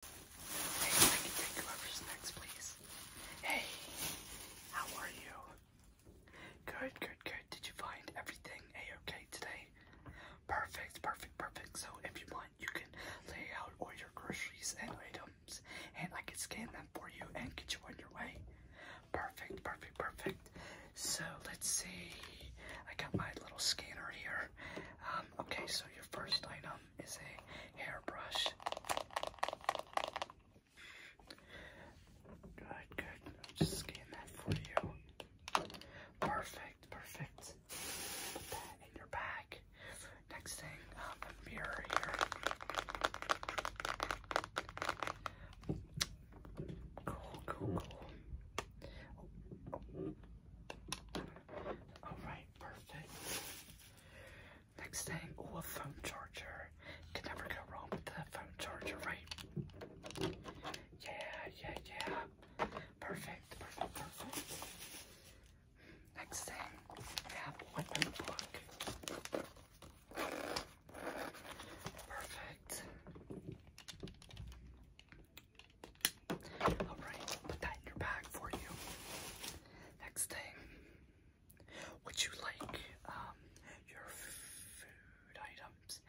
Hey, I can take whoever's next, please. Hey, how are you? Good, good, good. Did you find everything a-okay today? Perfect, perfect, perfect. So if you want, you can lay out all your groceries and items, and I can scan them for you and get you on your way. Perfect, perfect, perfect. So let's see. I got my little scanner here. Um, okay, so your first item is a hairbrush. Good, good. just scan that for you. Perfect, perfect. in your bag. Next thing, a uh, mirror here. Cool, cool, cool. Alright, perfect. Next thing, a phone charger. Can never go wrong with the phone charger, right? Yeah, yeah, yeah. Perfect, perfect, perfect. Next thing, I notebook. Perfect. Alright, I'll put that in your bag for you. Next thing, would you like um, your food items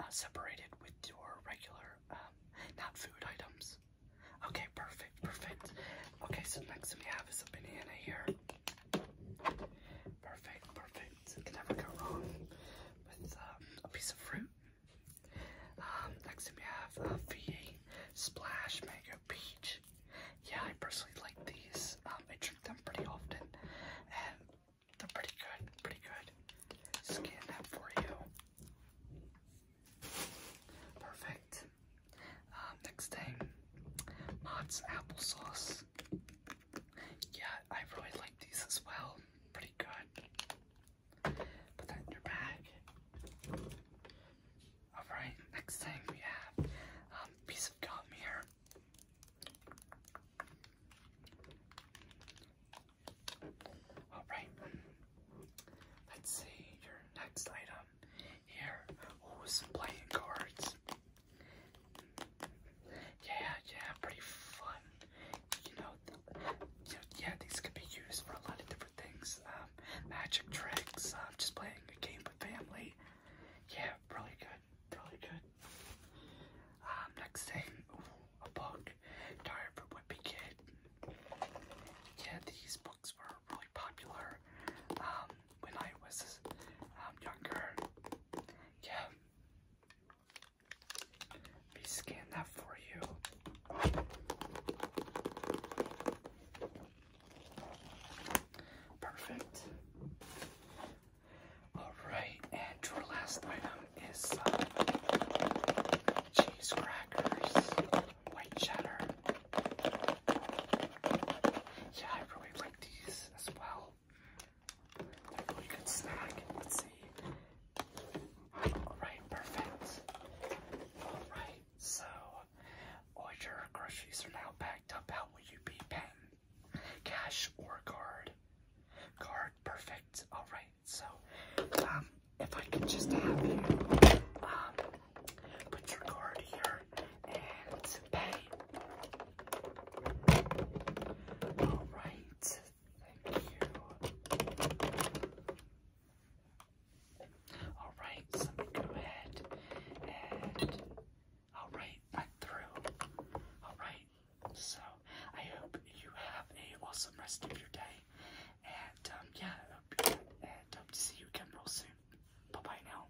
uh, separated with your regular um, not food items? Okay, perfect, perfect. Okay, so next thing we have is a banana here. Perfect, perfect. Can never go wrong with um, a piece of fruit. Um, next up we have uh, V8 Splash Mango Peach. Yeah, I personally like these. Um, I drink them pretty often, and they're pretty good, pretty good. Scan that for you. Perfect. Um, next thing, Mott's Sauce. Yeah, I really like these as well. Pretty good. Put that in your bag. Alright, next thing we have a um, piece of gum here. Alright, let's see your next item here. Oh, some playing cards. Yeah, yeah, pretty fun. You know, yeah, these could be used for a lot of different things. Um, magic tricks, um, just playing a game with family. Yeah, really good, really good. Um, next thing, a book, Diary for Whippy Kid. Yeah, these books were really popular um, when I was um, younger. Yeah, me scan that for you. Perfect. Alright, and your last item is uh, cheese crackers, white cheddar. Yeah, I really like these as well. Alright, perfect. Alright, so all your groceries are now packed up. How will you be paying? Cash or card? Card, perfect. Alright, so um if I could just have you um put your card here and pay all right. Thank you. All right, let me go ahead and all right, through. All right, so I hope you have a awesome rest of your day, and um, yeah, hope to see you again real soon. bye now.